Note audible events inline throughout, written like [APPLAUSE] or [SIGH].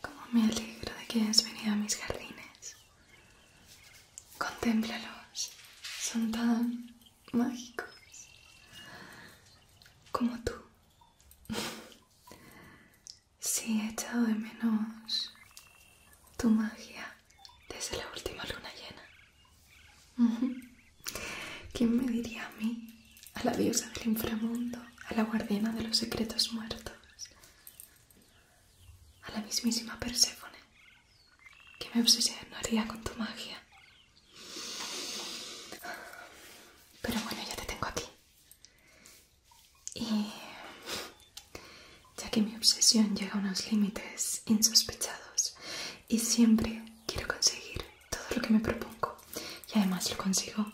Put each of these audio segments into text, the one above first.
Como me alegro de que hayas venido a mis jardines. Contémplalos. Son tan mágicos. Como tú si he echado de menos tu magia desde la última luna llena. ¿Quién me diría a mí, a la diosa del inframundo, a la guardiana de los secretos muertos, a la mismísima Perséfone, que me obsesionaría con tu magia? Pero bueno, ya te tengo aquí. Y ya que mi obsesión llega a unos límites insospechados y siempre quiero conseguir todo lo que me propongo y además lo consigo.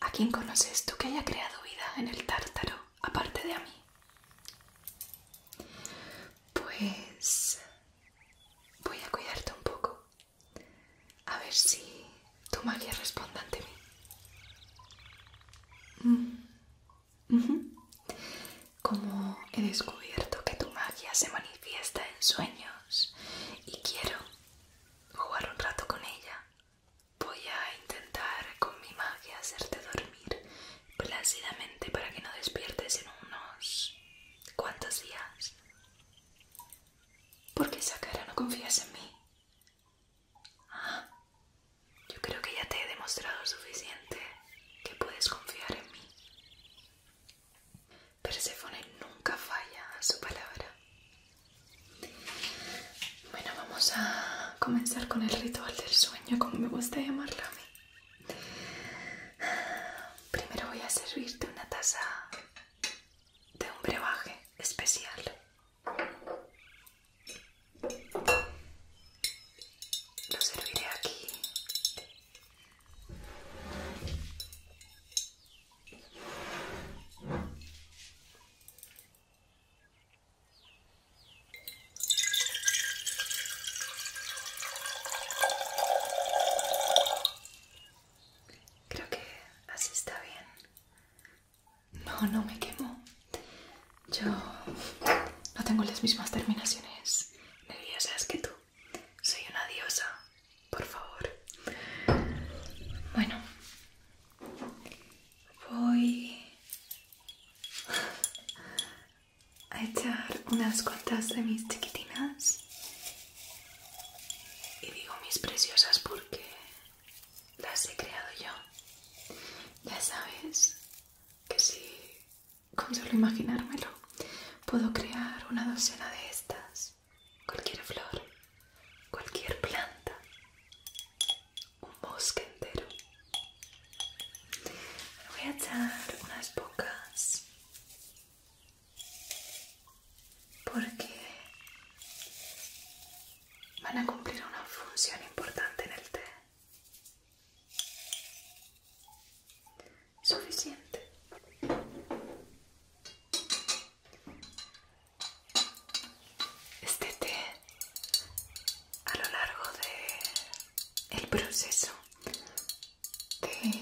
¿A quién conoces tú que haya creado vida en el tártaro aparte de a mí? Pues voy a cuidarte un poco. A ver si tu magia responde ante mí. Mm. Como he descubierto que tu magia se manifiesta en sueños y quiero jugar un rato con ella, voy a intentar con mi magia hacerte dormir plácidamente para que no despiertes en unos cuantos días. ¿Por qué esa cara no confías en mí? yo creo que ya te he demostrado suficiente que puedes confiar en mí. Persephone nunca falla a su palabra. Bueno, vamos a comenzar con el ritual del sueño, como me gusta llamarlo a mí. Primero voy a servirte una taza de un brebaje especial lo serviré aquí. Creo que así está bien. No, no me quemo. Yo no tengo las mismas terminaciones nerviosas que tú. Soy una diosa, por favor. Bueno, voy a echar unas cuantas de mis chiquitinas y digo mis preciosas porque las he creado yo. Ya sabes que si, con solo imaginármelo, puedo crear una docena de estas, cualquier flor, cualquier planta, un bosque entero. Voy a echar unas pocas porque van a cumplir una función importante en el té. Suficiente. Este té, a lo largo del proceso de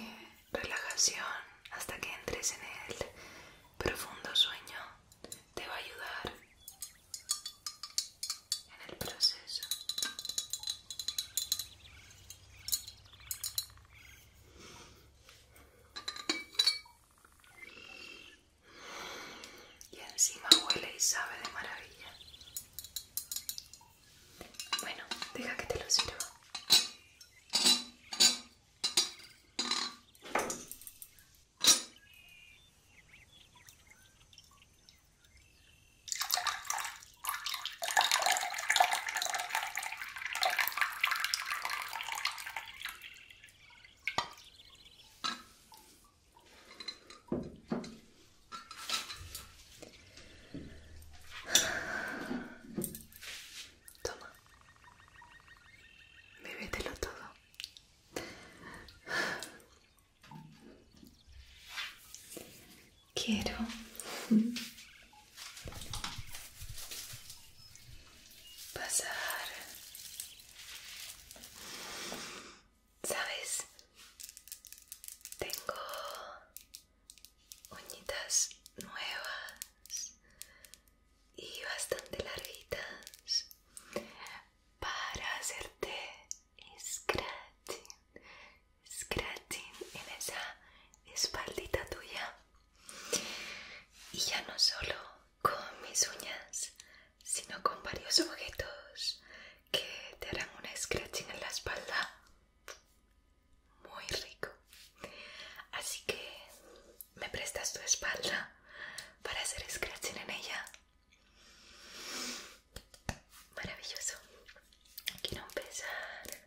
relajación hasta que entres en el profundo sueño, te va a ayudar en el proceso. Y encima huele y sabe de maravilla. Bueno, deja que te lo sirva. Toma, vívetelo todo Quiero pasar, ¿sabes? Tengo uñitas nuevas y bastante larguitas para hacerte scratching, scratching en esa espaldita tuya. Y ya no solo con mis uñas, sino con varios objetos que te harán un scratching en la espalda muy rico. Así que me prestas tu espalda para hacer scratching en ella. Maravilloso. Quiero empezar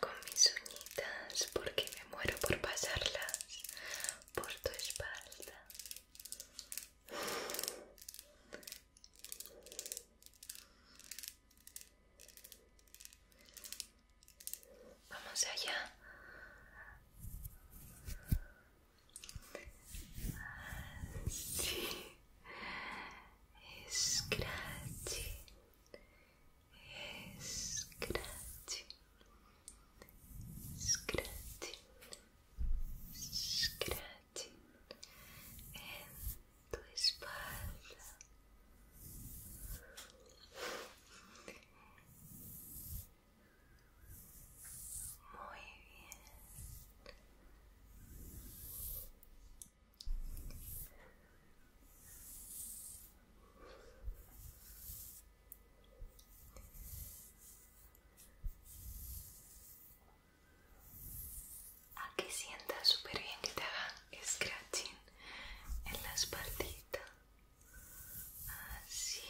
con mis uñitas porque me muero por pasarlas por tu espalda. Vamos allá. Sí. Scratching. Scratching. Scratch. Scratch. En tu espalda. Muy bien. Aquí sienta super bien que te hagan scratching en las espaldita así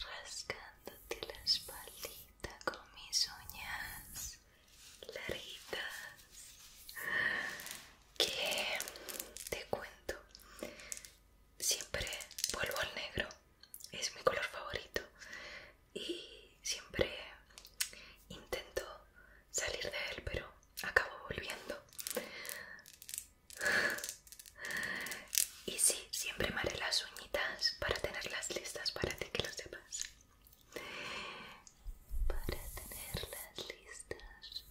rascándote la espalda con mis uñas largas que te cuento siempre vuelvo al negro es mi color favorito y siempre intento salir de él pero acabo volviendo y sí, siempre me las uñitas para tenerlas listas para ti que lo sepas. Para tenerlas listas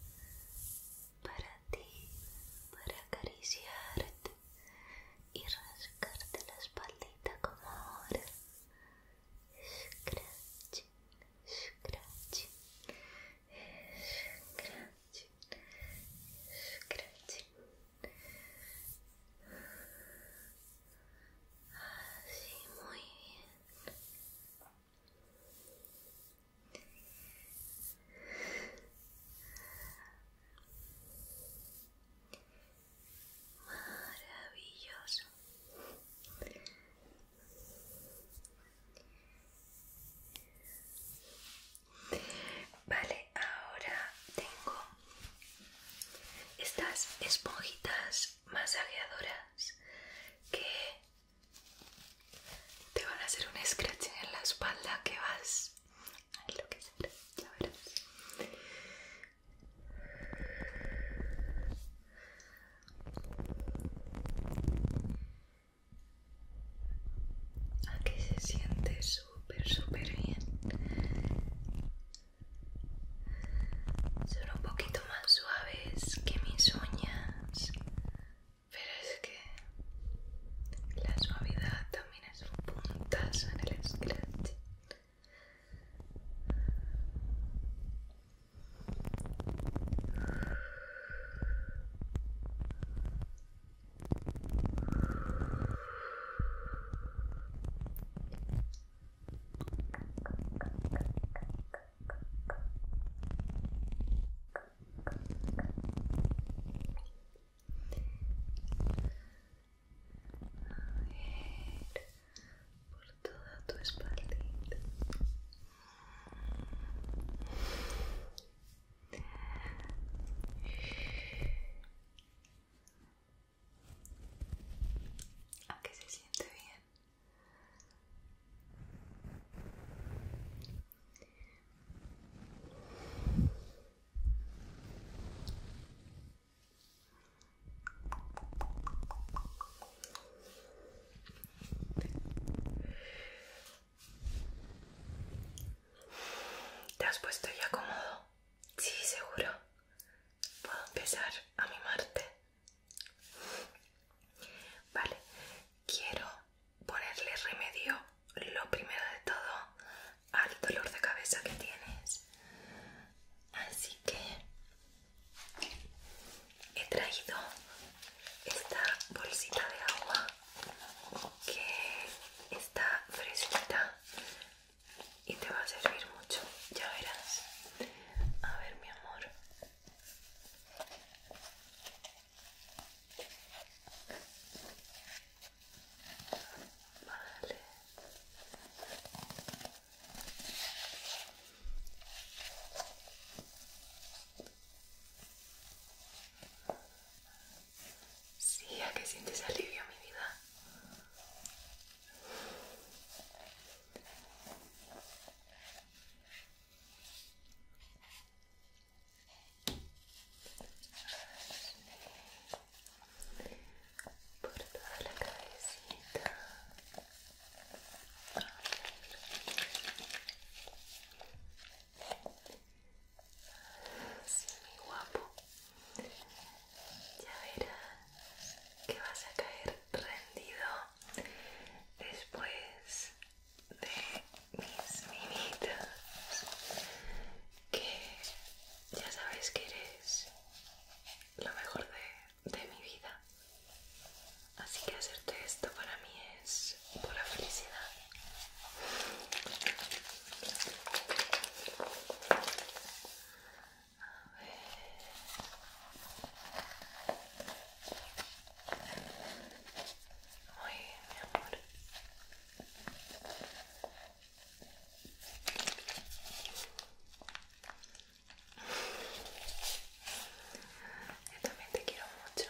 para ti, para acariciarte y rascarte la espaldita como ahora. Scratch, scratch, scratch. Así, muy bien. Maravilloso. Vale, ahora tengo estas esponjitas masajeadoras que te van a hacer un scratch en la espalda que vas a verás. Ah, que se siente súper, súper bien. Son un poquito más suaves que mis uñas, pero es que la suavidad también es un puntazo en el scratch por toda tu espalda aunque se siente bien. ¿Te has puesto ya cómodo? Sí, seguro. Puedo empezar a mimarte. Vale, quiero ponerle remedio lo primero de todo al dolor de cabeza que tienes. Así que he traído esta bolsita de agua que está fresquita y te va a servir mucho, ya verás. A ver, mi amor. Vale. Sí, ¿a qué sientes alivio, mi vida? Por toda la cabecita. Sí, mi guapo. Ya verás que vas a caer rendido después de mis minitas Que ya sabes que eres lo mejor de, de mi vida. Así que hacerte esto para mí es por la felicidad. Oi, meu amor. Eu também te quiero mucho.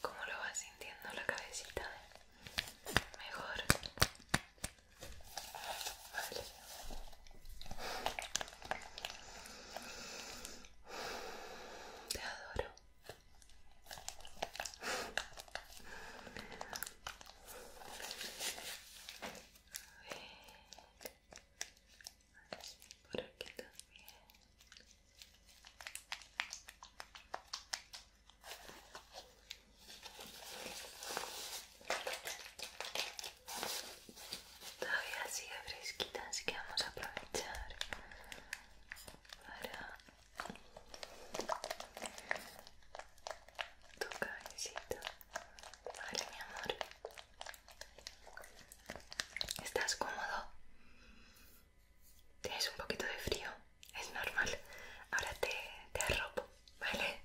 ¿Cómo lo vas sintiendo la cabecita? Mejor. Te adoro. Por aquí también. Todavía sigue fresquita, así que vamos a aprovechar para tu cabecita. Vale, mi amor. ¿Estás cómodo? Tienes un poquito de frío, es normal. Ahora te, te arropo, ¿vale?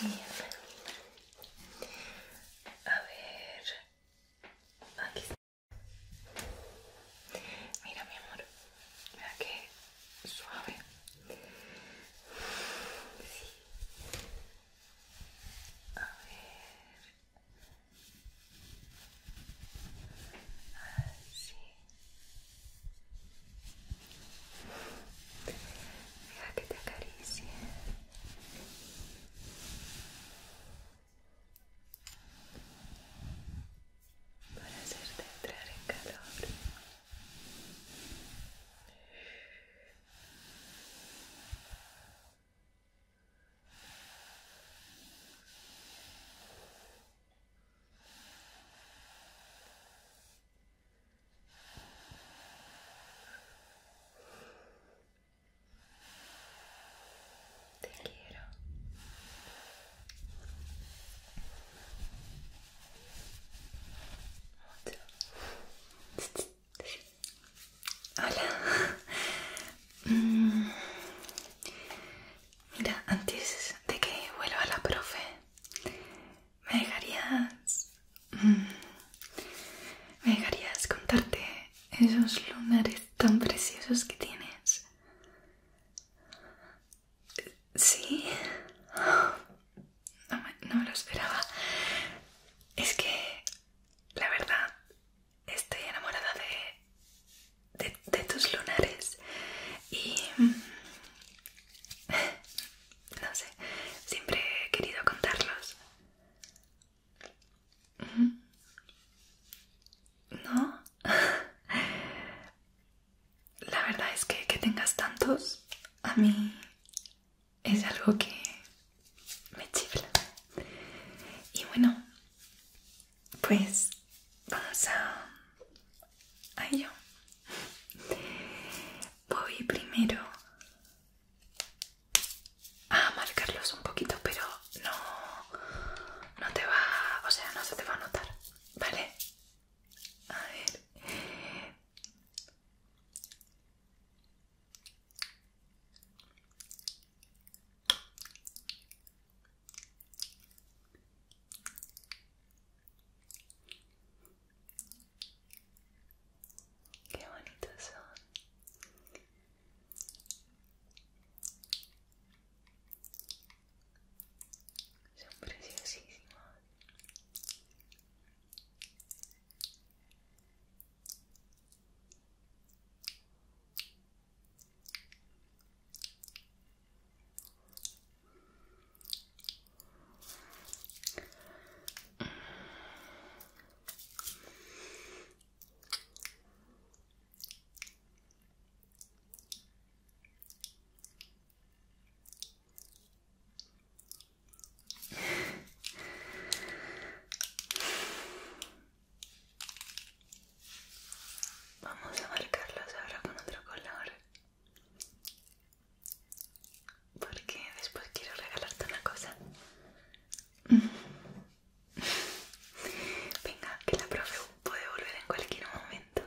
Muy bien. A ver. Aquí está. Mira, mi amor. Mira que suave. Sí. A ver. Así. Mira que te acaricia Para hacerte entrar en calor. Te quiero. Hola. Mm. Mira, antes de que vuelva la profe, ¿Me dejarías... Mm. ¿Me dejarías contarte esos lunares tan preciosos que tienes? ¿Sí? No me, lo esperaba. Es que, la verdad, estoy enamorada de, de tus lunares y... Mm, no sé, siempre he querido contarlos. ¿No? [LAUGHS] La verdad es que que tengas tantos a mí es algo que me chifla. Y bueno, pues vamos a a yo Voy primero a marcarlos un poquito, pero no, no te va, o sea, no se te va a notar, ¿vale? A ver. Qué bonitos son. Son preciosísimos. Vamos a marcarlos ahora con otro color. Porque después quiero regalarte una cosa. [LAUGHS] Venga, que la profe puede volver en cualquier momento.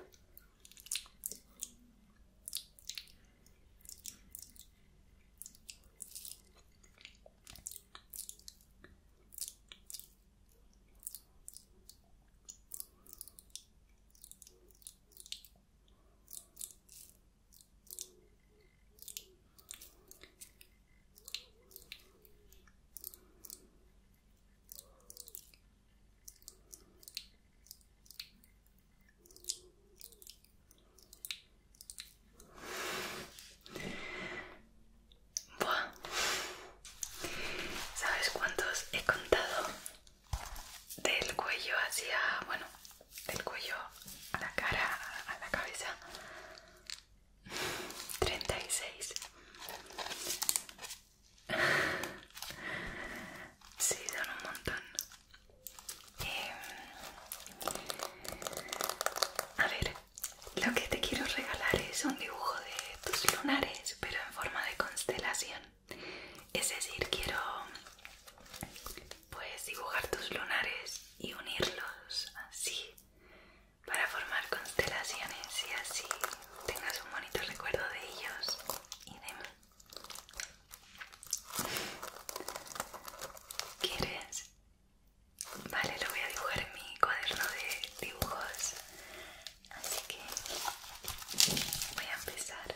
¿Sabes cuántos he contado? del cuello hacia, bueno, del cuello a la cara, a la cabeza. 36. Sí, son un montón. Em, a ver, lo que te quiero regalar es un dibujo de tus lunares, pero en forma de constelación. Es decir, quiero pues dibujar tus lunares y unirlos así para formar constelaciones y así tengas un bonito recuerdo de ellos y de mí. ¿Quieres? Vale, lo voy a dibujar en mi cuaderno de dibujos. Así que voy a empezar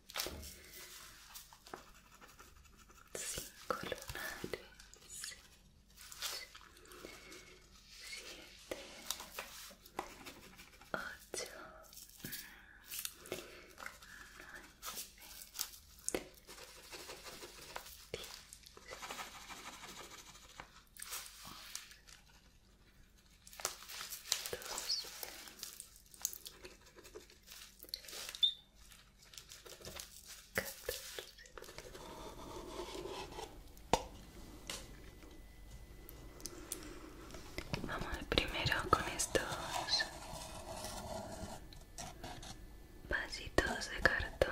cinco lunares siete ocho nueve diez once Vamos primero con estos vasitos de cartón.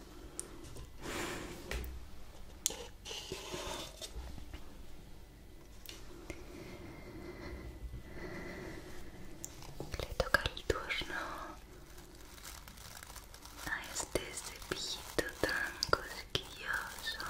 Le toca el turno a este cepillito tan cosquilloso.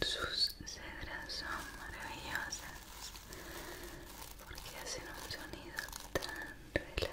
Sus cedras son maravillosas porque hacen un sonido tan relajante.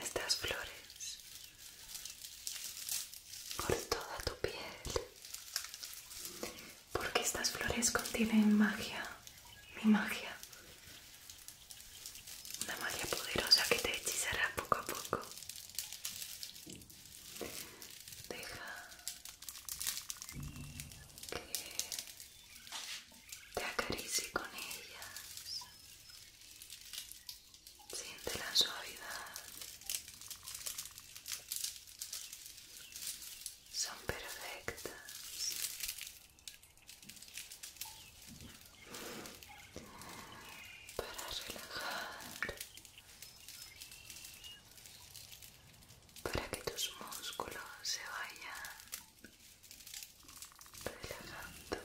Estas flores por toda tu piel porque estas flores contienen magia, mi magia. Una magia poderosa que te hechizará poco a poco. Deja que te acaricie con ellas. Siente la suavidad son perfectas. Para relajar, para que tus músculos se vayan relajando.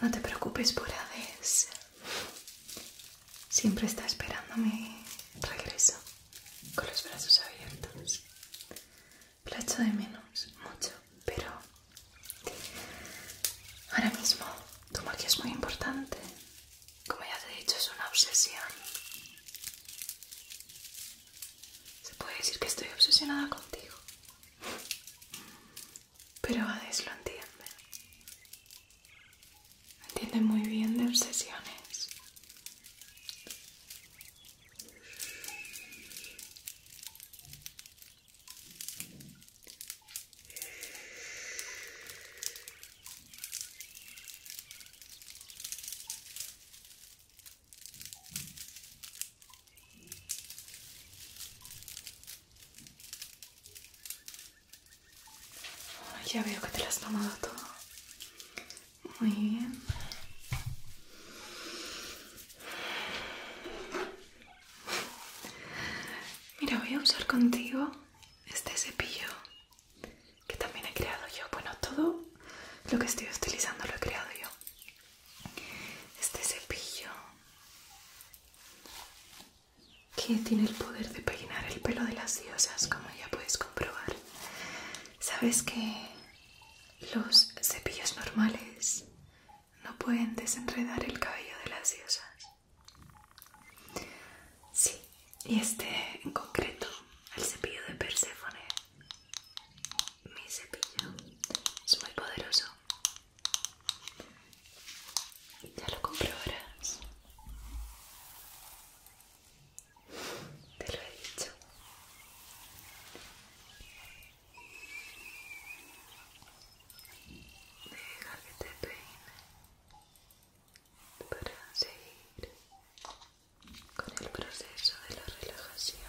No te preocupes por vez Siempre está esperando mi regreso con los brazos abiertos. Lo echo de menos mucho, pero ahora mismo tu magia es muy importante. Como ya te he dicho, es una obsesión. Se puede decir que estoy obsesionada contigo. Pero a lo entiende. Entiende muy bien de obsesiones. Ya veo que te lo has tomado todo. Muy bien. Mira, voy a usar contigo este cepillo que también he creado yo. Bueno, todo lo que estoy utilizando lo he creado yo. Este cepillo que tiene el poder de peinar el pelo de las diosas, como ya puedes comprobar. Sabes que los cepillos normales no pueden desenredar el cabello de las diosas. Sí, y este en concreto, el cepillo de Perséfone, mi cepillo es muy poderoso ya lo comprarás. te lo he dicho deja que te peine para seguir con el proceso de la relajación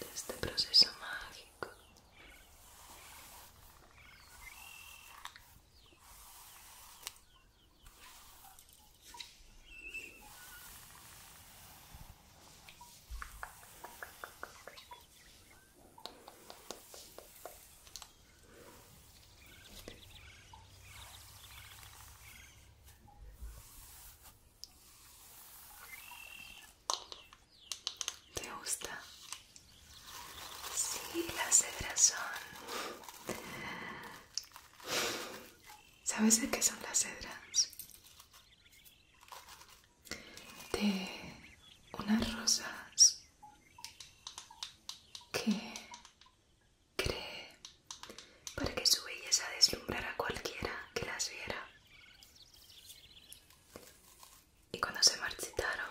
de este proceso mágico. ¿Te gusta? Sí, las cedras son... ¿Sabes de qué son las cedras? De unas rosas que cree para que su belleza deslumbrara a cualquiera que las viera. Y cuando se marchitaron,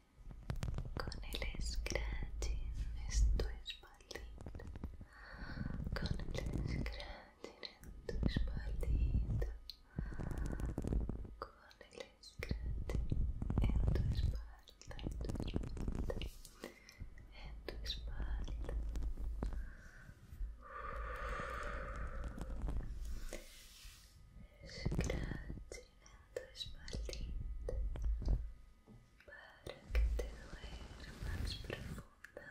con el scratching en tu espaldita, con el scratching en tu espaldita, con el scratching en tu espalda, en tu espalda, en tu espalda. Scratching en tu espaldita. para que te más profundamente.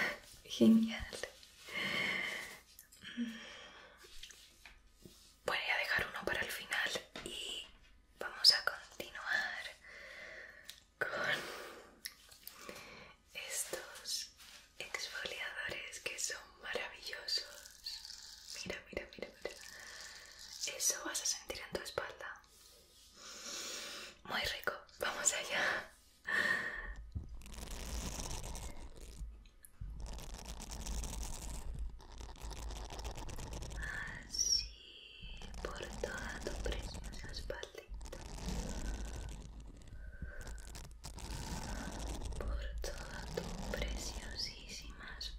[LAUGHS] Genial. Voy a dejar uno para el final y vamos a continuar con estos exfoliadores que son maravillosos. Mira, mira, mira, Eso vas a sentir en tu espalda. Muy rico. Vamos allá. Así por toda tu preciosa espalda Por toda tu preciosa muchísima patas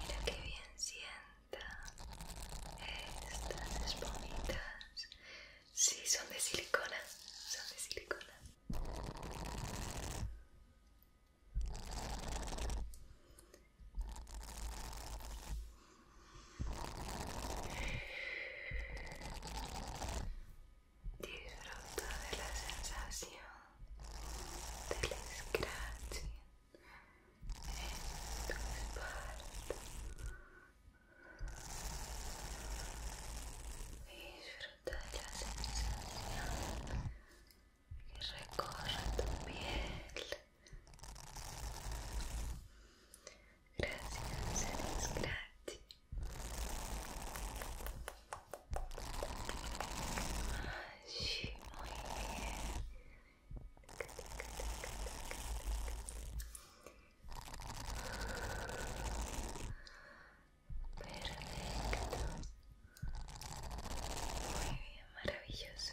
Mira qué bien sienta estas esponjitas. Sí, son de silicona, son de silicona. Disfruta de la sensación del scratch en tu espalda. Disfruta de la sensación que recorre tu piel. Gracias, eres gratis. Ay, muy bien. Perfecto. Muy bien, maravilloso.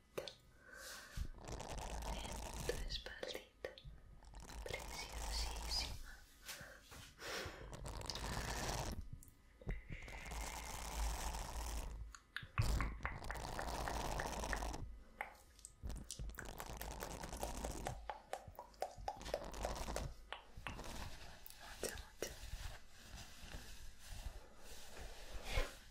espaldita, en tu espaldita, preciosísima. mucha, mucha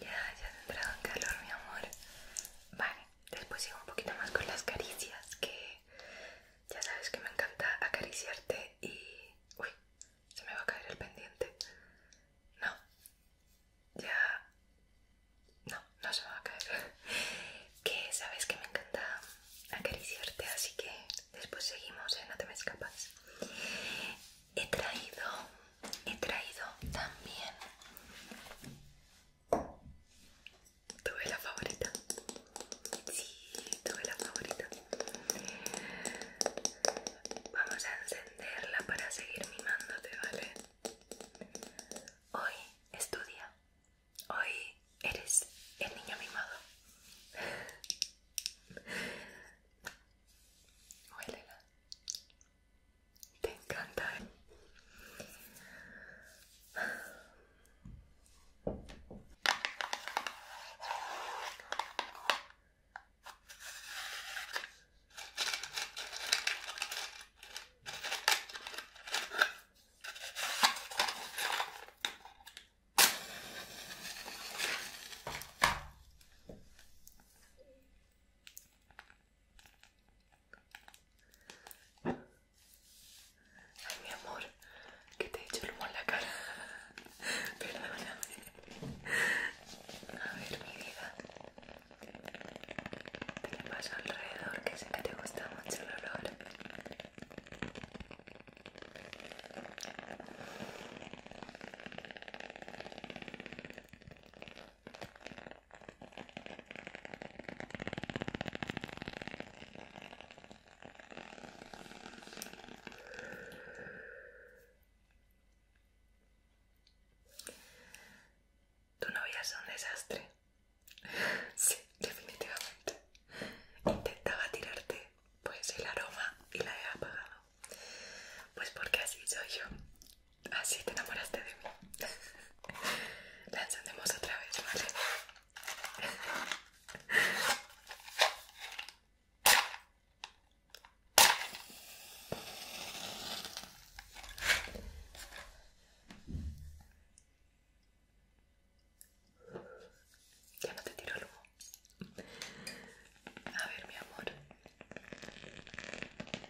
Ya, ya has entrado en calor, mi amor. Vale, después sigo un poquito más con las caricias, que ya sabes que me encanta acariciarte y... Uy, se me va a caer el pendiente. No, ya no, no se me va a caer [LAUGHS] que sabes que me encanta acariciarte así que después seguimos, ¿eh? no te me escapas he traído he traído también tuve la favorita sí, tuve la favorita Vamos a encenderla para seguir mimándote, ¿vale? Hoy estudia. Hoy eres el niño mimado. [LAUGHS] Huélela. Te encanta, ¿eh? Ay, mi amor, que te he hecho el humo en la cara. [LAUGHS] Perdóname. A ver, mi vida. Te pasa alrededor que se que te gusta mucho el olor. Tu novia es un desastre. [LAUGHS] sí, definitivamente. Intentaba tirarte pues el aroma y la he apagado. Pues porque así soy yo. Así te enamoraste de mí. [LAUGHS] la encendemos otra vez, ¿vale? Ya no te tiro el A ver, mi amor.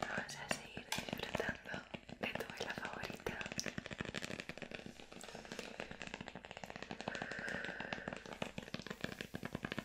Vamos a seguir disfrutando de tu la favorita.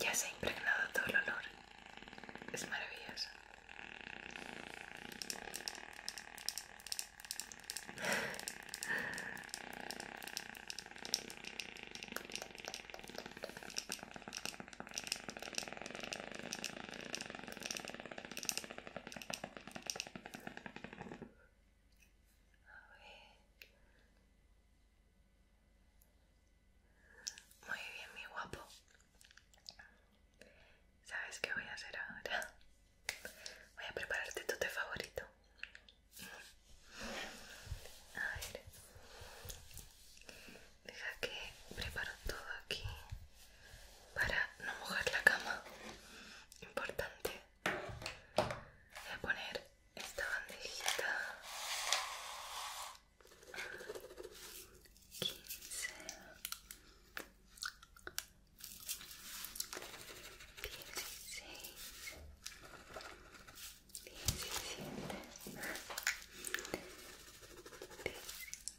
Ya se ha impregnado todo el olor. Es maravilloso ver. Muy bien, mi guapo. ¿Sabes qué voy a hacer ahora? Voy a prepararte tu té favorito. A ver. Deja que preparo todo aquí para no mojar la cama importante voy poner esta bandejita 15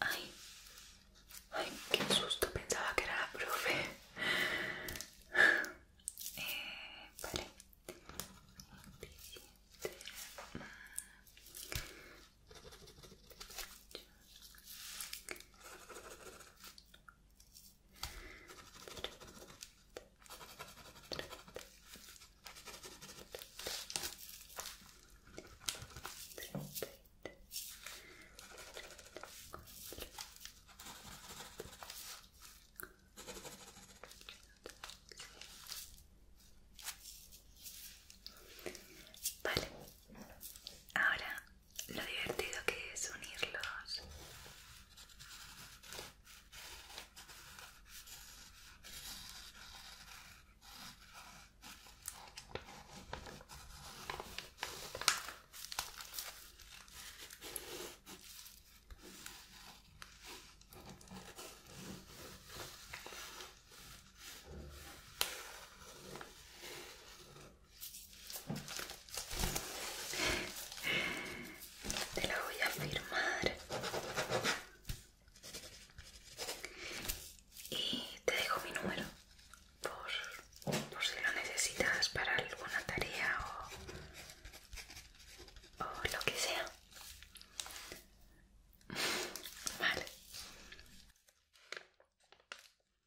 Ay, ay, qué susto, pensaba que era la profe. Eh, Vale, ahora lo divertido que es unirlos. Te la voy a firmar. Y te dejo mi número por, si lo necesitas para alguna tarea o, o lo que sea. Vale.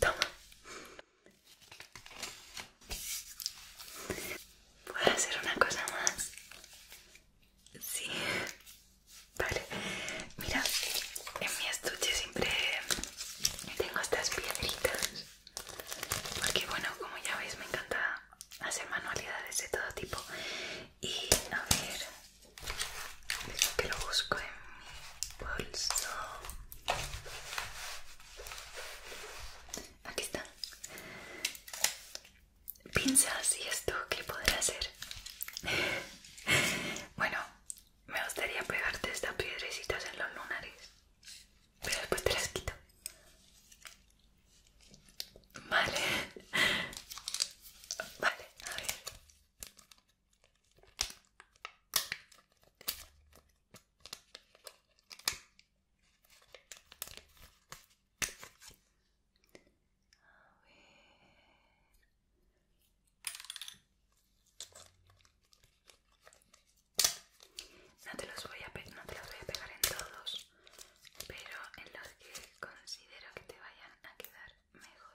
Toma. ¿Puedo hacer una cosa más? Sí. Vale. Mira, en mi estuche siempre tengo estas piedritas porque bueno como ya veis me encanta hacer manualidades de todo tipo y a ver que lo busco en mi bolso aquí están pinzas y esto que podrá hacer [LAUGHS] bueno me gustaría pegarte estas piedrecitas en los lunares pero después te las quito. Vale, vale, a ver. A ver. No te los voy a, voy a pegar en todos, pero en los que considero que te vayan a quedar mejor.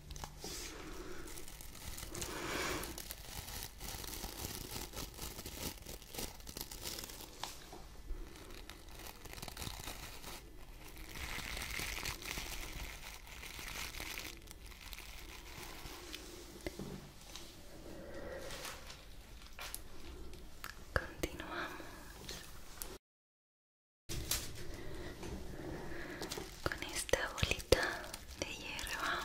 Continuamos con esta bolita de hierba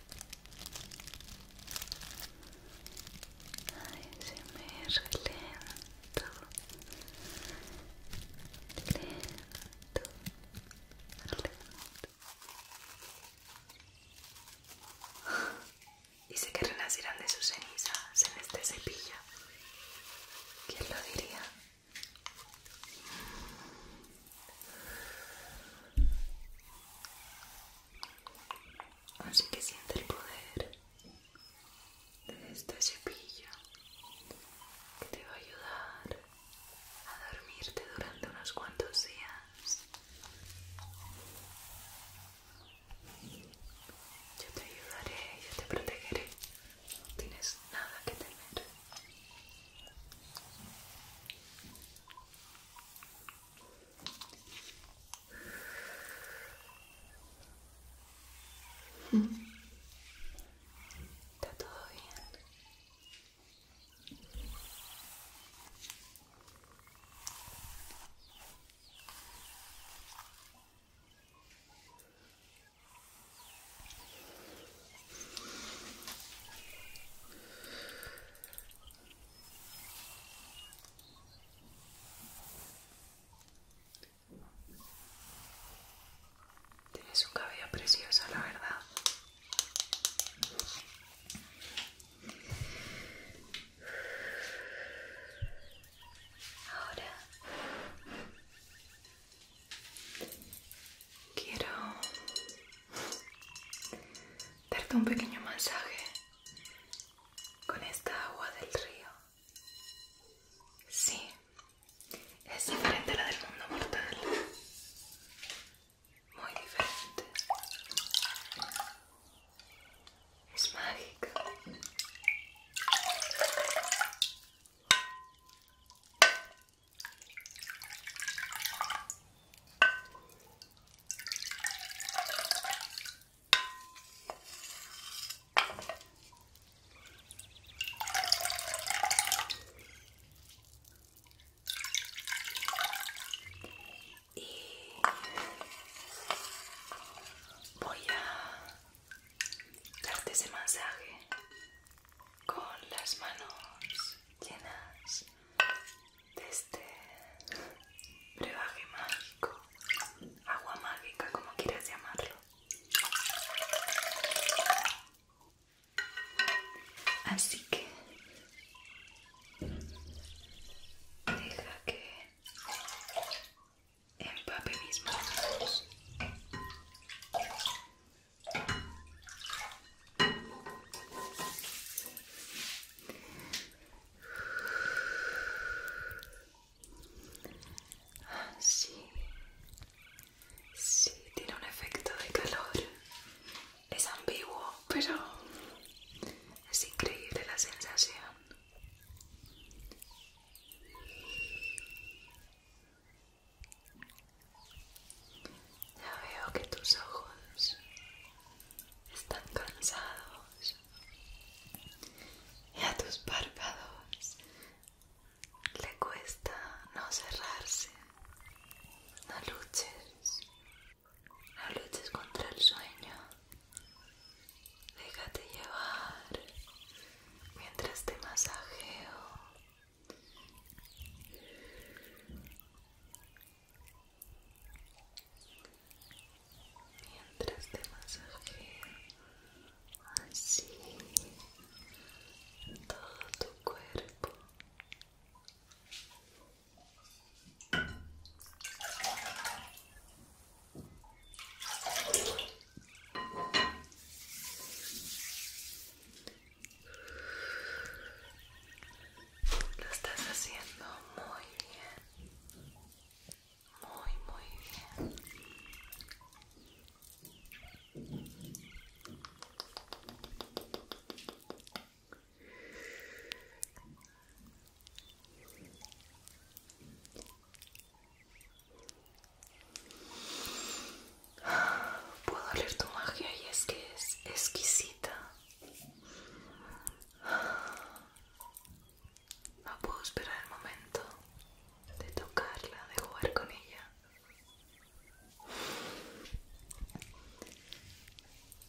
Ay, se me lento, Y Dice que renacerán de sus cenizas en este cepillo. ¿Quién lo diría? Así que siente el poder de esta cepilla que te va a ayudar a dormirte durante unos cuantos días. Yo te ayudaré, yo te protegeré. No tienes nada que temer. Está todo bien. Tienes un cabello precioso, la verdad. Ahora quiero darte un pequeño masaje con esta agua del río. Sí, es diferente a la del mundo mortal. Muy diferente. Es mágica. Y voy a darte ese masaje con las manos llenas de este brebaje mágico, agua mágica, como quieras llamarlo. Así que deja que empape mis manos. Sí, sí, tiene un efecto de calor. Es ambiguo, pero es increíble la sensación. Ya veo que tus ojos están cansados y a tus párpados le cuesta no cerrarse. No luches, no luches contra el sueño. Déjate llevar mientras te masajeo mientras te masajeo así todo tu cuerpo lo estás haciendo muy bien. Muy, muy bien. [SIGHS] Puedo leer tu magia y es que es exquisita. No puedo esperar el momento de tocarla, de jugar con ella.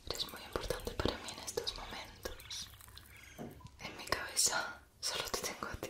Eres muy importante para mí en estos momentos. En mi cabeza solo te tengo a ti.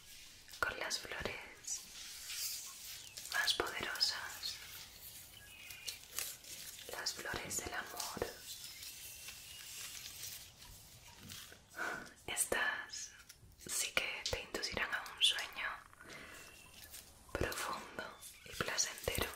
con las flores más poderosas, las flores del amor. Estas sí que te inducirán a un sueño profundo y placentero.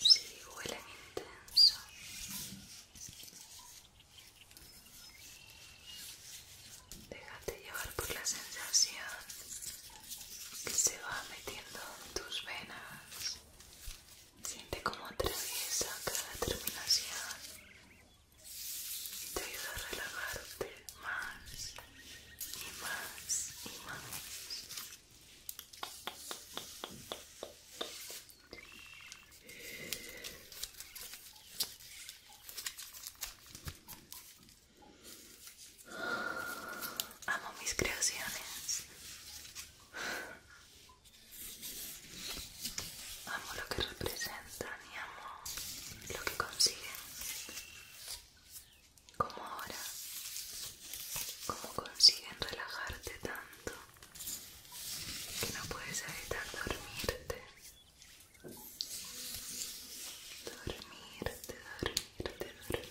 Sí, huele intenso. Déjate llevar por la sensación que se va metiendo en tus venas. Siente cómo atraviesa cada terminación te ayuda a relajarte más y más y más. Amo mis creaciones. Amo lo que representan y amo lo que consiguen. Como ahora, Como consiguen relajarte tanto que no puedes evitar dormirte. Dormirte, dormirte, dormirte.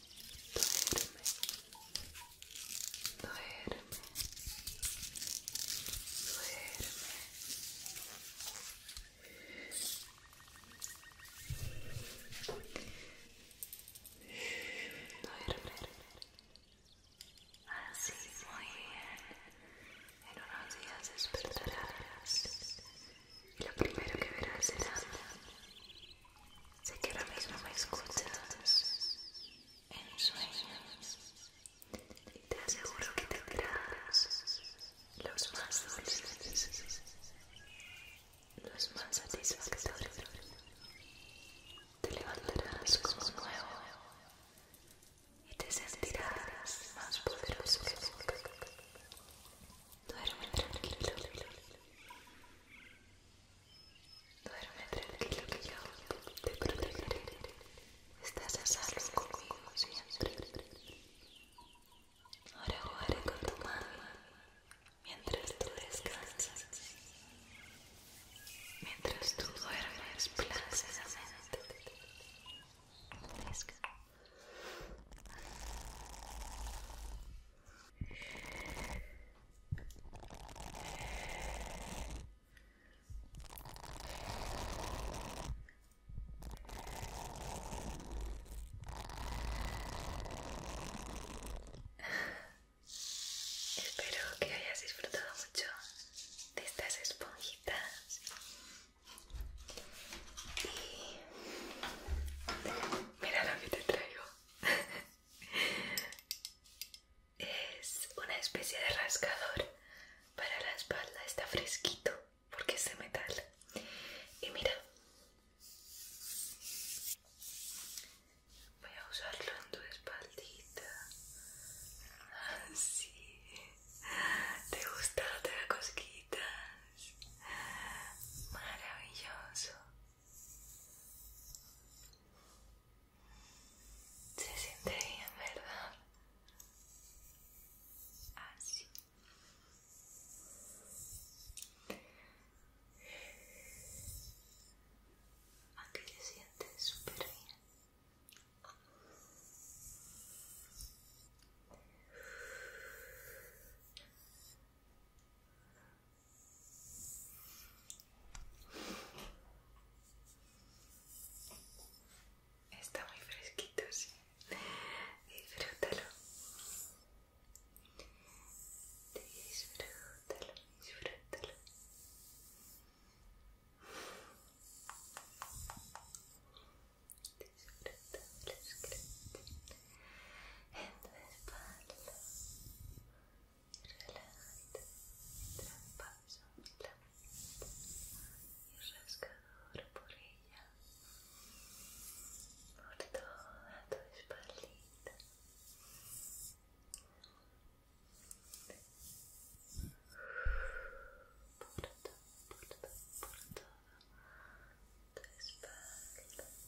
duerme, duerme, duerme, duerme, así muy bien, en unos días despertarás y lo primero que verás será Sé que ahora mismo me escuchas en sueños y te aseguro que te tendrás los más dulces, los más satisfactorios. Te levantarás como nuevo y te sentirás más poderoso que nunca. Duerme tranquilo. Duerme tranquilo que yo te protegeré. Estás a salvo como siempre. Ahora jugaré con tu mamá mientras tú descansas. Mientras tú duermes plácidamente. Descansa. Espero que hayas disfrutado mucho de estas esponjitas y mira lo que te traigo. [LAUGHS] Es una especie de rascador para la espalda, está fresquito porque es de metal. Y mira, voy a usarlo en tu espaldita. Así, ah, ¿te gusta? ¿Te da Maravilloso. Se siente bien, ¿verdad? Así. Aunque se siente súper bien. Está muy fresquito, sí. Disfrútalo. Disfrútalo, disfrútalo. Disfrútalo, disfrútalo. relajante, tramposa la y rascador por ella, por toda tu espaldita. Por todo, por todo, por todo tu espalda, así,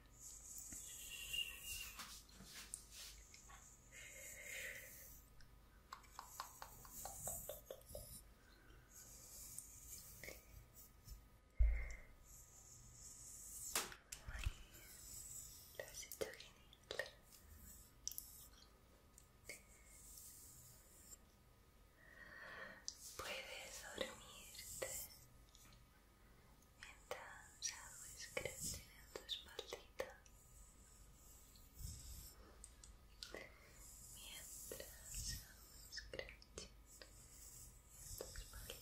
Lo has genial. Puedes dormirte mientras hago escrache en tu espaldita mientras hago escrache en tu espaldita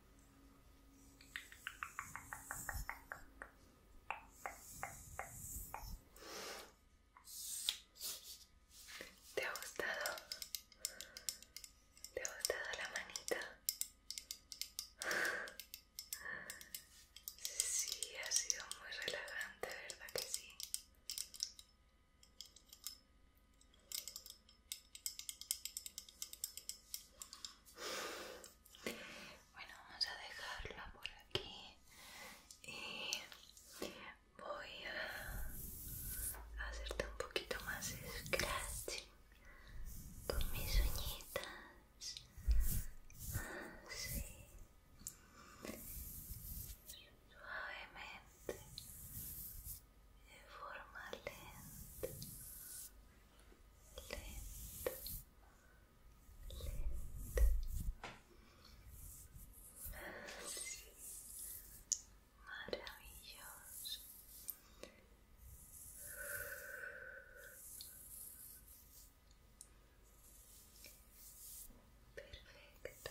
¿Te ha gustado? ¿Te ha gustado la manita? Sí, ha sido muy relajante, ¿verdad que sí? Bueno, vamos a dejarla por aquí y voy a hacerte un poquito más scratching con mis uñitas. Así. Suavemente, de forma lenta lento, lento, así, maravilloso. Perfecto.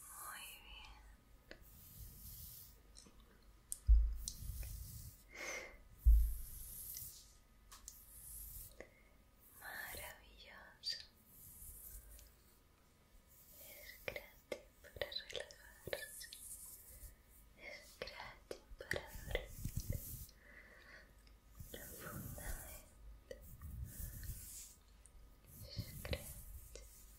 Muy bien. Maravilloso. Es gratis para relajarse. Es gratis para dormir. Profundamente. Es gratis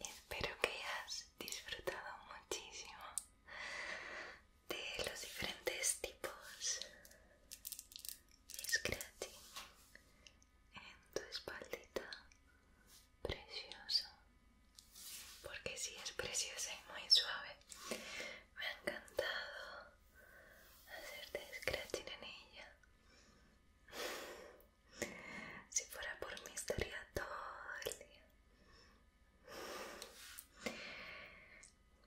Espero que hayas disfrutado muchísimo de los diferentes tipos de scratching en tu espaldita preciosa porque si es preciosa y muy suave me ha encantado hacerte scratching en ella si fuera por mí estaría todo el día.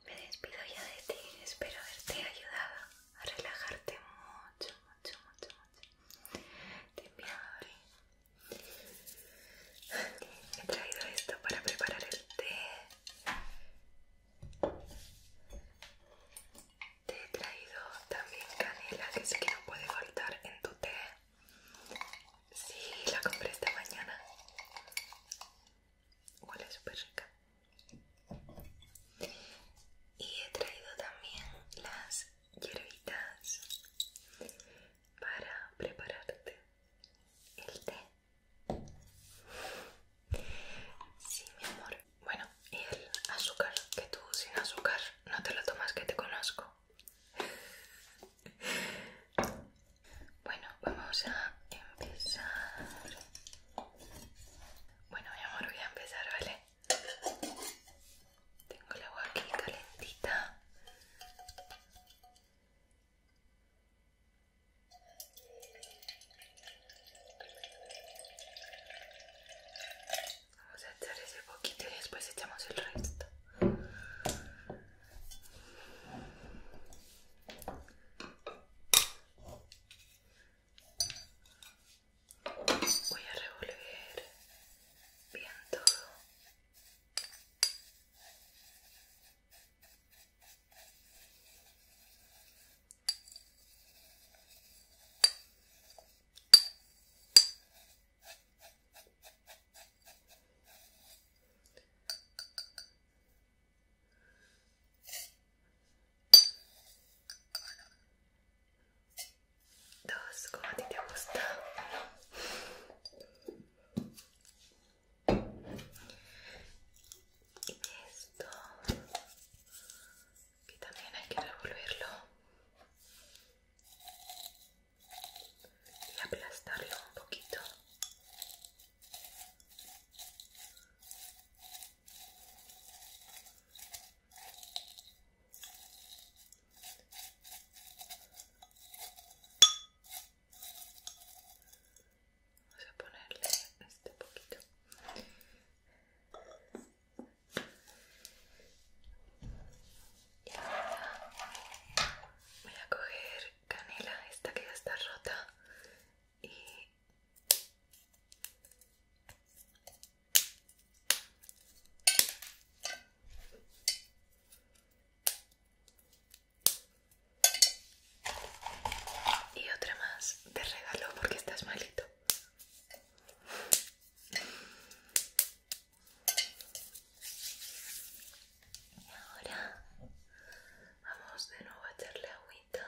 Me despido ya de ti, espero haberte ayudado a relajarte mucho, mucho, mucho, mucho. Te a He traído esto para preparar el té. Te he traído también canela, que sé que no puede faltar en tu té. Sí, la compré esta mañana. Huele súper rica. Y he traído también las hierbitas para prepararte el té. Sí, mi amor. Bueno, y el azúcar, que tú sin azúcar no te lo tomas, que te conozco. Bueno, vamos a empezar. Bueno, mi amor, voy a empezar, ¿vale? Tengo el agua aquí calentita. Vamos a echar ese poquito y después echamos el resto. Voy a revolver bien todo. Dos, como a ti te gusta. Y esto que también hay que revolverlo y aplastarlo un poquito Vamos a ponerle este poquito voy a coger canela, esta que ya está rota, y y otra más de regalo porque estás malito y ahora vamos de nuevo a echarle agüita.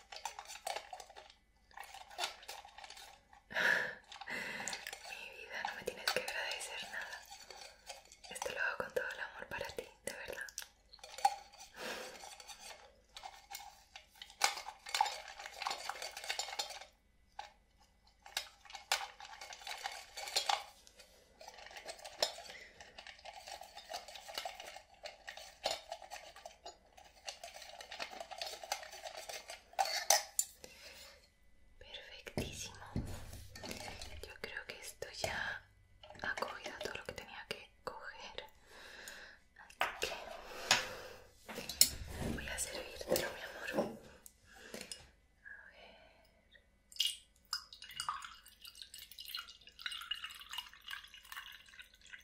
Mi vida, no me tienes que agradecer nada. Esto lo hago con todo el amor para ti, de verdad. Perfectísimo. Yo creo que esto ya ha cogido todo lo que tenía que coger. voy a servirte, mi amor. A ver.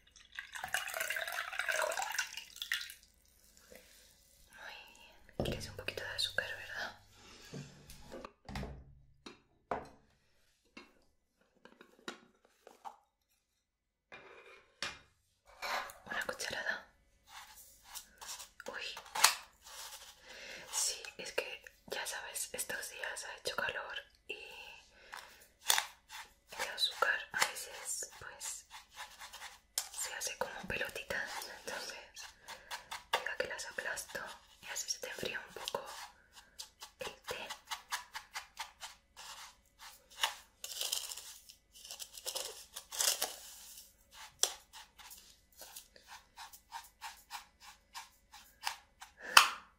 Muy bien, quieres un poquito de azúcar, ¿verdad? Una cucharada. Uy. Sí, es que ya sabes, estos días ha hecho calor y el azúcar a veces pues se hace como pelotita entonces ya que las aplasto y así se te enfría un poco el té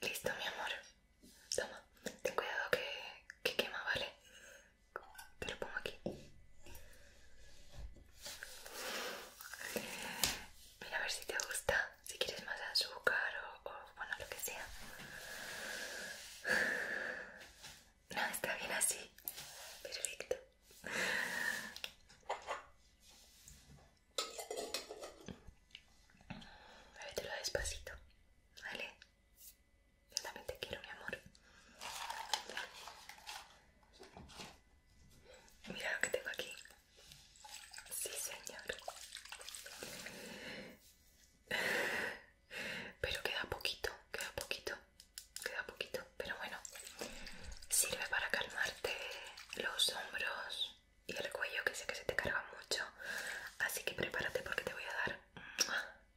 Listo, mi amor. Toma, ten cuidado que, quema, ¿vale? lo pongo aquí. Mira a ver si te gusta, si quieres más azúcar o bueno, lo que sea. No, está bien así. Perfecto. lo despacito, ¿vale? Yo también te quiero, mi amor. Mira lo que tengo aquí. Sí, señor. Pero queda poquito, queda poquito, queda poquito. Pero bueno, sirve para calmarte los hombros y el cuello que sé que se te carga mucho. Así que prepárate porque te voy a dar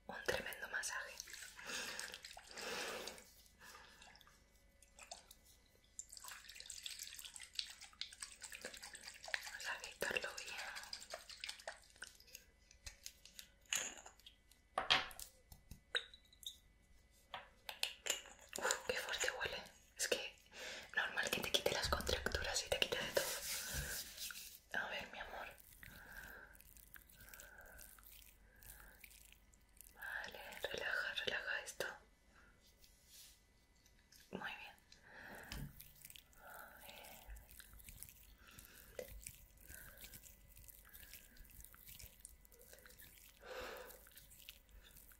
un tremendo masaje. Vamos a bien. Uff, qué fuerte huele. Es que normal que te quite las contracturas y te quite de todo. A ver, mi amor. Vale, relaja, relaja esto. Muy bien. A ver.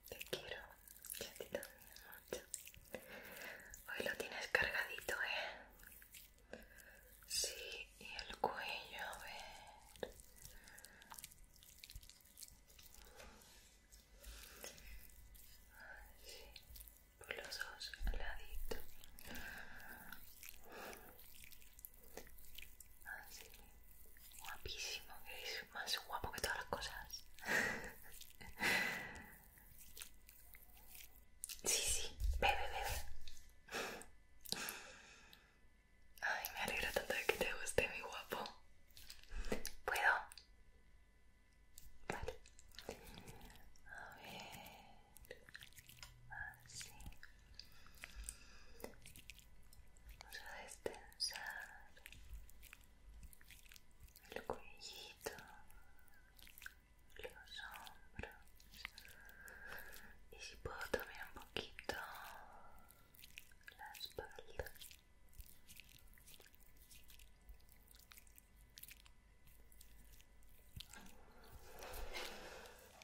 Te quiero y a ti también Hoy lo tienes cargadito, ¿eh? Sí, y el cuello, eh. ver. por los dos al ladito. Así, guapísimo, que es más guapo que todas las cosas. [LAUGHS] sí, sí, bebe, bebe. Ay, me alegra tanto de que te guste, mi guapo. ¿Puedo? Vale. A ver así vamos a destensar el cuellito los hombros y si puedo también un poquito la espalda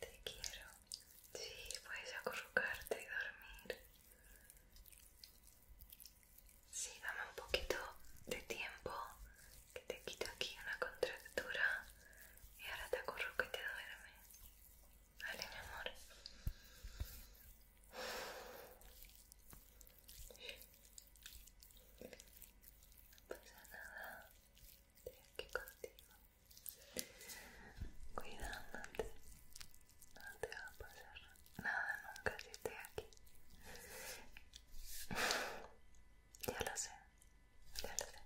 Te quiero. Sí, puedes acurrucarte y dormir. Sí, dame un poquito de tiempo que te quito aquí una contractura y ahora te acurruco y te duerme. Vale, mi amor. No pasa nada estoy aquí contigo cuidándote. No te va a pasar nada nunca esté aquí. ya lo sé, ya lo sé.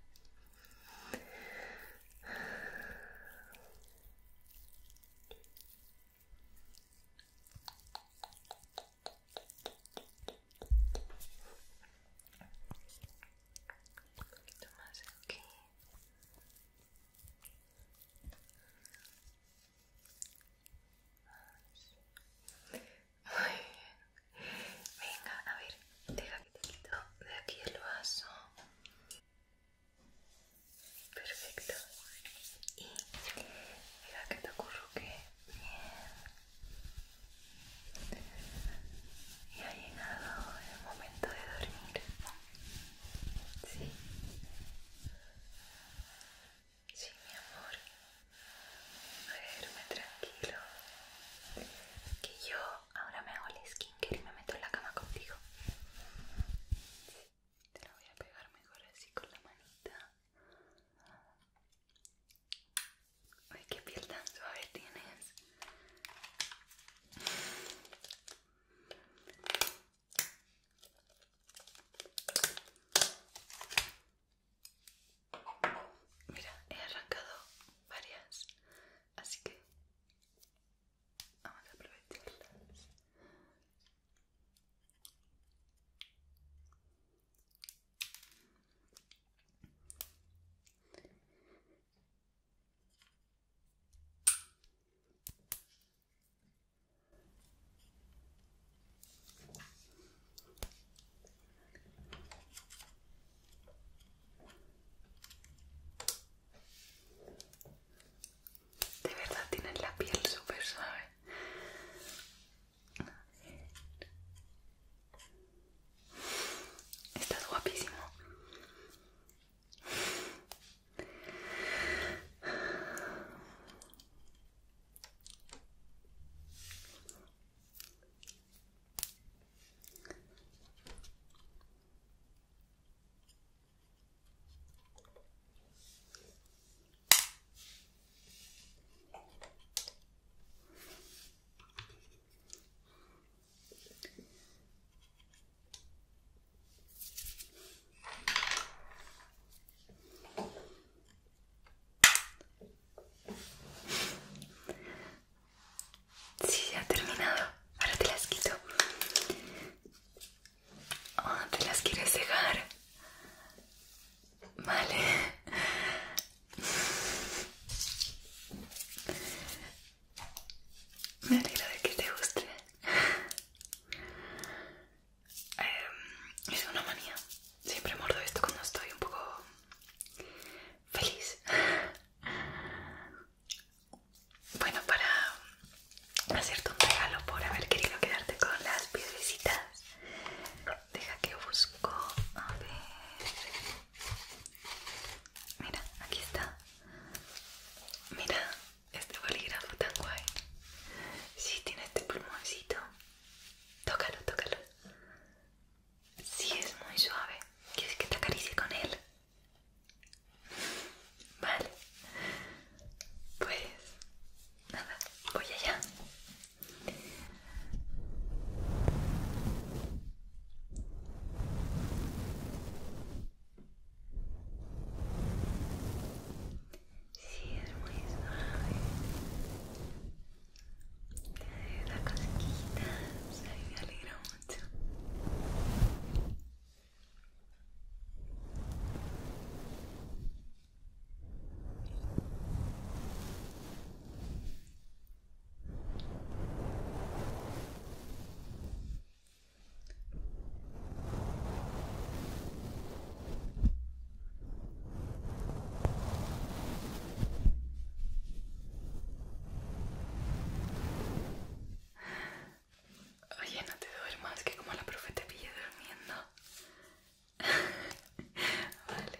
Un poquito más aquí. Muy Venga, a ver, deja que te quito de aquí el vaso. Perfecto. Y deja que te acurruque bien. Y ha llegado el momento de dormir. Sí. Sí, mi amor. A Duerme tranquilo. Que yo ahora me hago el skincare y me meto en la cama contigo. Te lo voy a pegar mejor así con la manita. Ay, qué piel tan suave tienes. Mira, he arrancado varias, así que vamos a aprovecharlas. De verdad tienen la piel súper suave. Estás guapísimo. Sí, ya terminado. Ahora te las quito. Oh, ¿Te las quieres dejar? Vale. Me alegro de que te guste. Em, es una manía. Siempre mordo esto cuando estoy un poco feliz. Bueno, para hacerte un regalo por haber querido quedarte con las piedrecitas, deja que busco. A ver. Mira, aquí está. Mira, este bolígrafo tan guay. Sí, tiene este pulmoncito. Tócalo, tócalo. Sí, es muy suave. ¿Quieres que te acaricie con él? Vale. Pues nada, voy allá. Sí, es muy suave. La cosquita, se me alegra mucho. Oye, no te duermas, que como la profe te durmiendo. [LAUGHS] vale.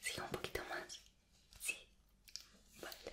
Sí, un poquito más. Sí. Vale.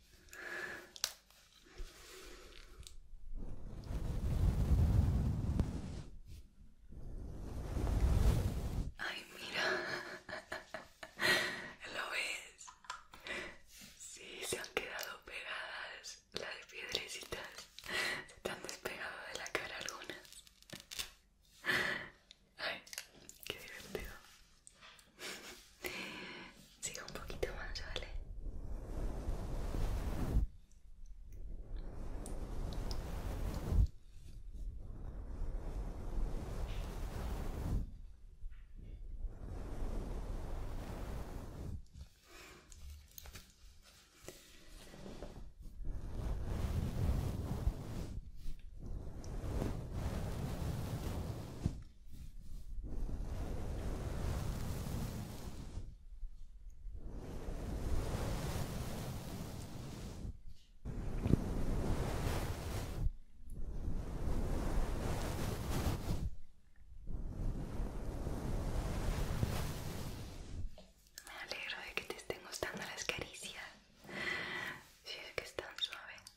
Ay, mira. [LAUGHS] ¿Lo ves? Sí, se han quedado pegadas las piedrecitas. Se están han despegado de la cara algunas. Ay, qué divertido. Sigue un poquito más, ¿vale? Me alegro de que te estén gustando las caricias. Si que están suaves. suave.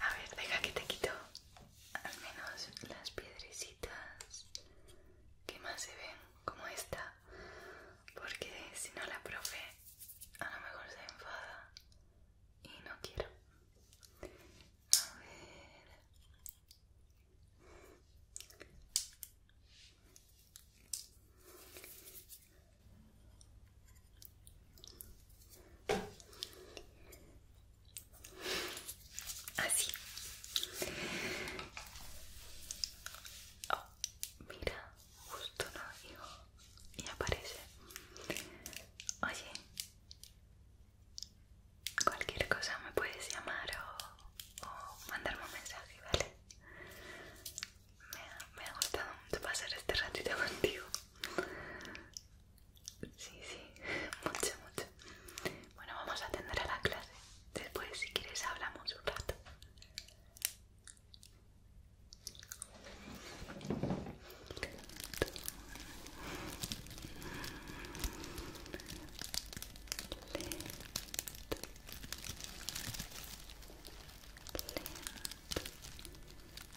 A ver, deja que te quito al menos las piedrecitas que más se ven, como esta, porque si no la profe a lo mejor se enfada y no quiero. A ver. Así. Oh, mira, justo no digo y aparece. Oye, cualquier cosa me puedes llamar o, o mandarme un mensaje, ¿vale? Me ha, me ha gustado mucho pasar este ratito [LAUGHS] contigo. Sí, sí, [LAUGHS] mucho, mucho. Bueno, vamos a atender a la clase. Después, si quieres, hablamos un rato.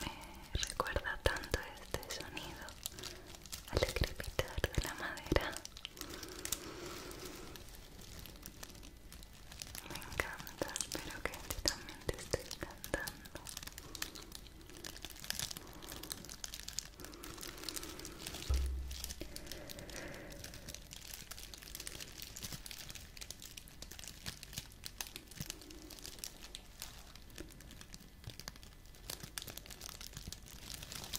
Me recuerda tanto este sonido al crepitar de la madera. Me encanta, espero que a ti también te esté encantando.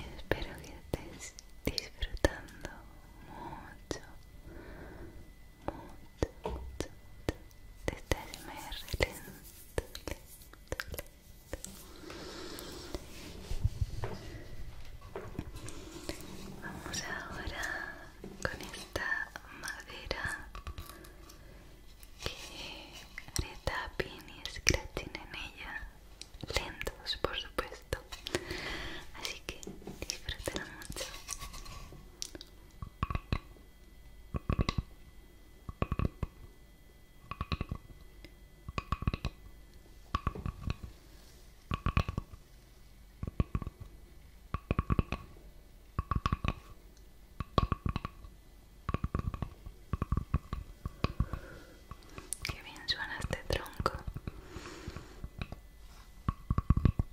Espero que estés disfrutando mucho mucho, mucho, lentos, lentos, lento, lento, lento. Vamos ahora con esta madera que haré pines que tienen en ella lentos por supuesto así que disfrútalo mucho Qué bien suena este tronco.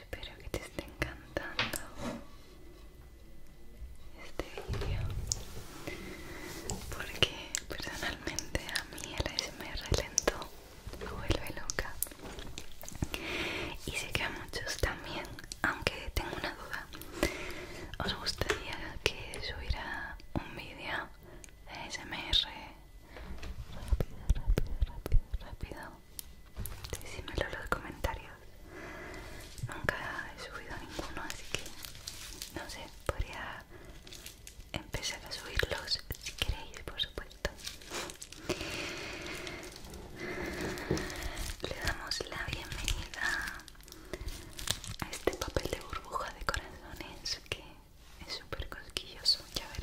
Espero que te esté encantando este vídeo porque personalmente a mí el ASMR lento me vuelve loca y sé que a muchos también, aunque tengo una duda ¿os gustaría que subiera un video de ASMR rápido, rápido, rápido, rápido Decídmelo en los comentarios. Nunca he subido ninguno, así que no sé, podría empezar a subirlos si queréis, por supuesto. Le damos la bienvenida a este papel de burbuja de corazones que es súper cosquilloso, ya veréis.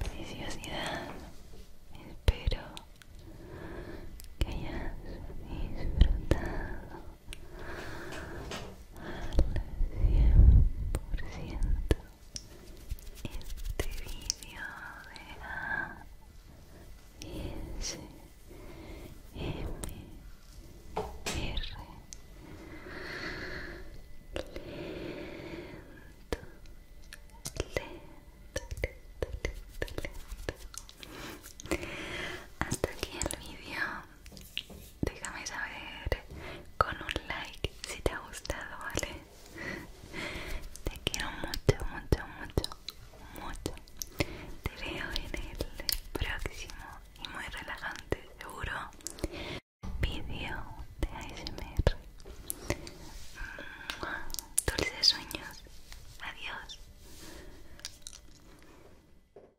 Preciosidad, espero que hayas disfrutado este vídeo de S lento lento lento lento lento hasta aquí el vídeo déjame saber con un like si te ha gustado, ¿vale? Te quiero mucho, mucho, mucho, mucho. Te veo en el próximo y muy relajante, seguro, vídeo de ASMR. Dulces sueños. Adiós.